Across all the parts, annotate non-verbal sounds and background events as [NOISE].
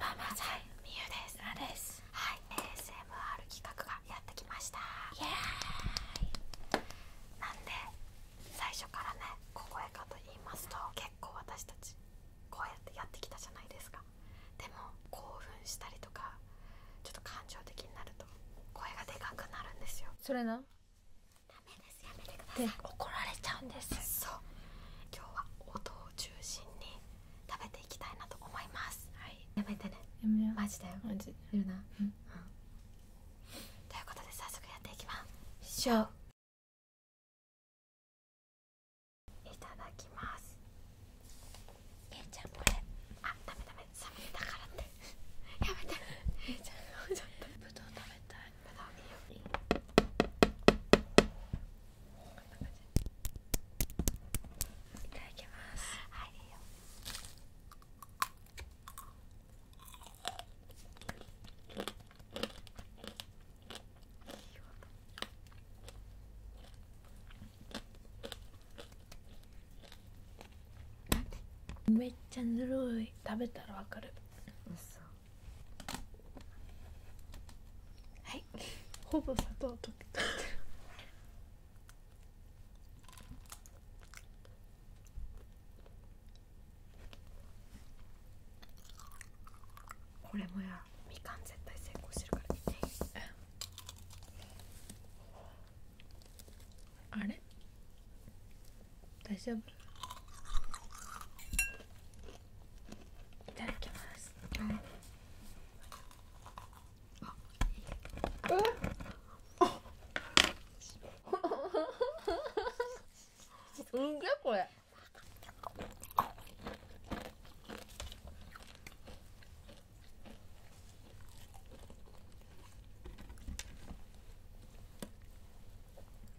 ママさんみゆですはい ASMR 企画がやってきましたイエーイなんで最初からね小声かと言いますと結構私たちこうやってやってきたじゃないですかでも興奮したりとかちょっと感情的になると声がでかくなるんですよそれなダメですやめてください怒られちゃうんですそう今日は音を中心に食べていきたいなと思います、はい、やめてねやめようマジだよマジでいな、ということで早速やっていきましょういただきますゆうちゃこれあダメダメ寒いんからってやめてゆうちゃちょっとぶどう食べたいいいよいただきますはいめっちゃぬるい食べたらわかるうそはいほぼ砂糖溶けたこれもやみかん絶対成功してるからあれ大丈夫いただきます、うん [LAUGHS] すんげえこれ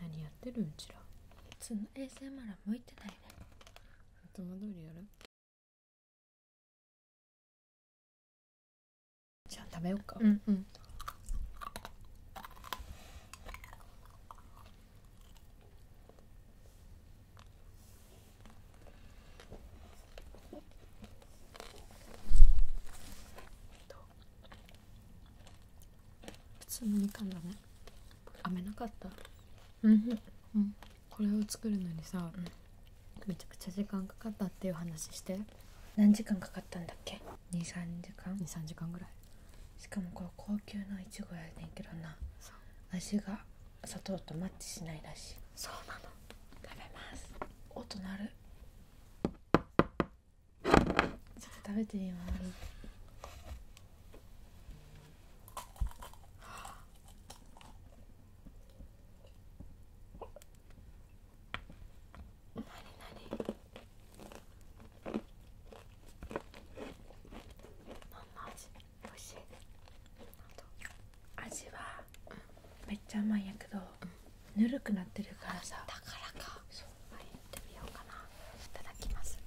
何やってるうちら普通の衛 s マ r は向いてないねいつも通りやるじゃあ食べようかうんうんど普通のみかんだね飴なかったうん、うん、これを作るのにさ、めちゃくちゃ時間かかったっていう話して何時間かかったんだっけ23時間23時間ぐらいしかもこれ高級ないちごやねんけどな味が砂糖とマッチしないらしいそうなの食べます音鳴るちょっと食べてみます味はめっちゃ甘いやけど、ぬるくなってるからさだからかいただきます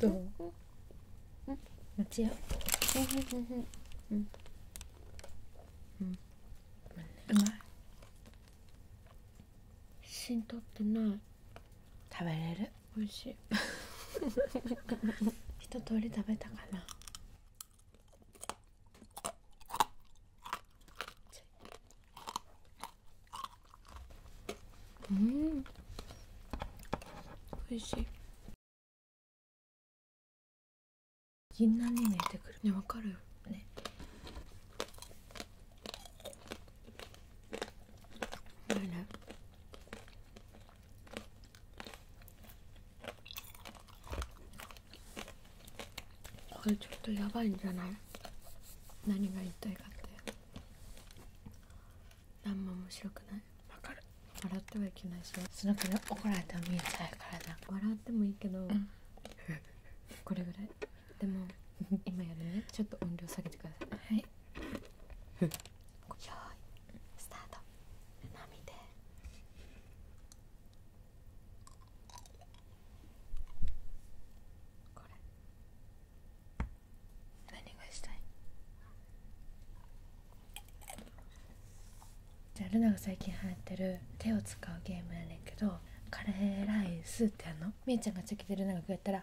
どんうってない食べれる美味しい [LAUGHS] 一通り食べたかなうん美味しい銀杏に見てくるねわかるよねあれこれちょっとやばいんじゃない何が言いたいかって何も面白くないわかる笑ってはいけないしそのくらい怒られても見えちゃうからな笑ってもいいけど、これぐらいでも今やるねちょっと音量下げてくださいはいじゃあルナが最近はやってる手を使うゲームやねんけどカレーライスってあのみーちゃんがチョキでルナがこうやったら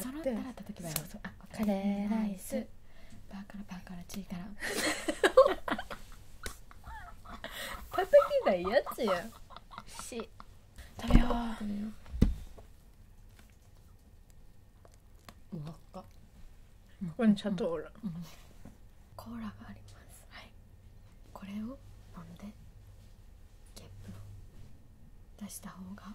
そろったら叩けばいカレーライスパーからパーチーから [LAUGHS] 叩けばいいやつやし食べようわっかこれにシャトーラ、コーラがありますはいこれを飲んでゲップを出した方が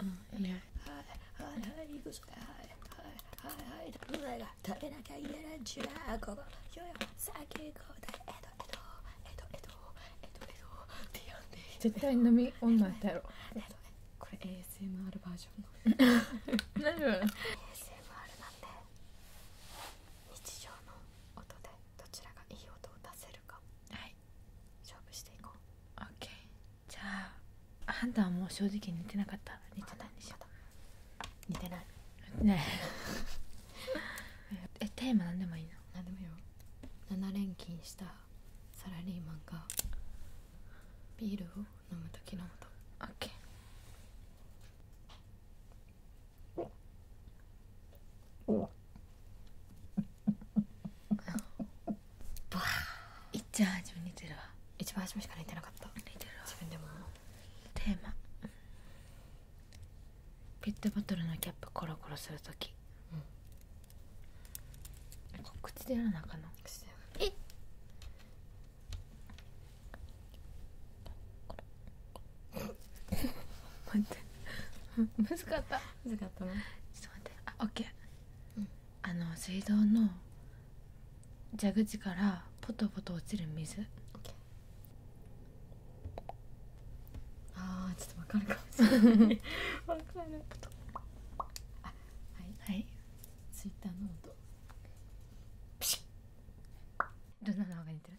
うん、いやはいはいはい嘘だはいはいはいはい胸が食べなきゃいけないんじゃここよよ先行だえとえとえとえとえとえとって呼んでいい絶対飲み女だろえとこれ ASMR バージョンの大丈夫 ASMR なんで日常の音でどちらがいい音を出せるかはいはい勝負していこう OK じゃあ判断はもう正直似てなかった似てなんでしょ似てないね [LAUGHS] ええテーマ何でもいいの何でもよ7連勤したサラリーマンがビールを飲む時の音 OK うわ、ーいっちゃん自分似てるわ一番初めしか似てなかった似てるわ自分でもテーマペットボトルのキャップコロコロするとき、うん、こ口でやらなあかんの口でえっ待って難しかった難しかったなちょっと待ってあオッケー、ん、あの水道の蛇口からポトポト落ちる水あーちょっとわかるかもな [LAUGHS] はいはいツイッターの音ピルナの方が似てる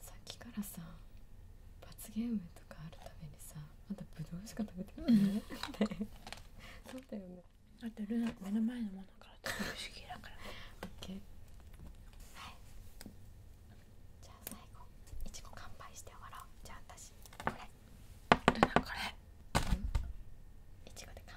さっきからさ罰ゲームとかあるためにさまだぶどうしか食べてないねそうだよねあとルナ目 [LAUGHS] の前のものから食べる主義だから OK はいじゃあ最後いちご乾杯して終わろうじゃあ私これルナこれいちごで乾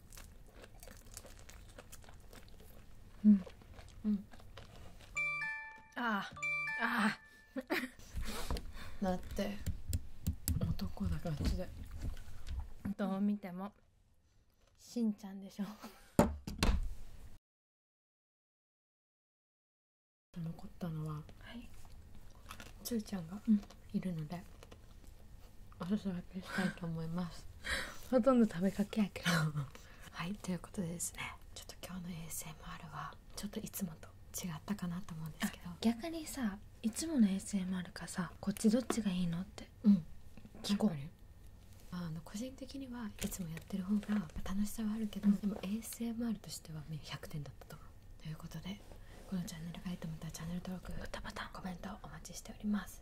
うんうんああああだって男だガチでどう見てもしんちゃんでしょ残ったのは、はい、つーちゃんがいるので、おす分けしたいと思います [LAUGHS] ほとんど食べかけやけど [LAUGHS] はいということでですねちょっと今日の ASMR はちょっといつもと違ったかなと思うんですけど逆にさいつもの ASMR かさこっちどっちがいいのってうん聞こえるあの個人的にはいつもやってる方が楽しさはあるけど、でも ASMR としては100点だったと思うということでこのチャンネルがいいと思ったらチャンネル登録グッドボタンコメントお待ちしております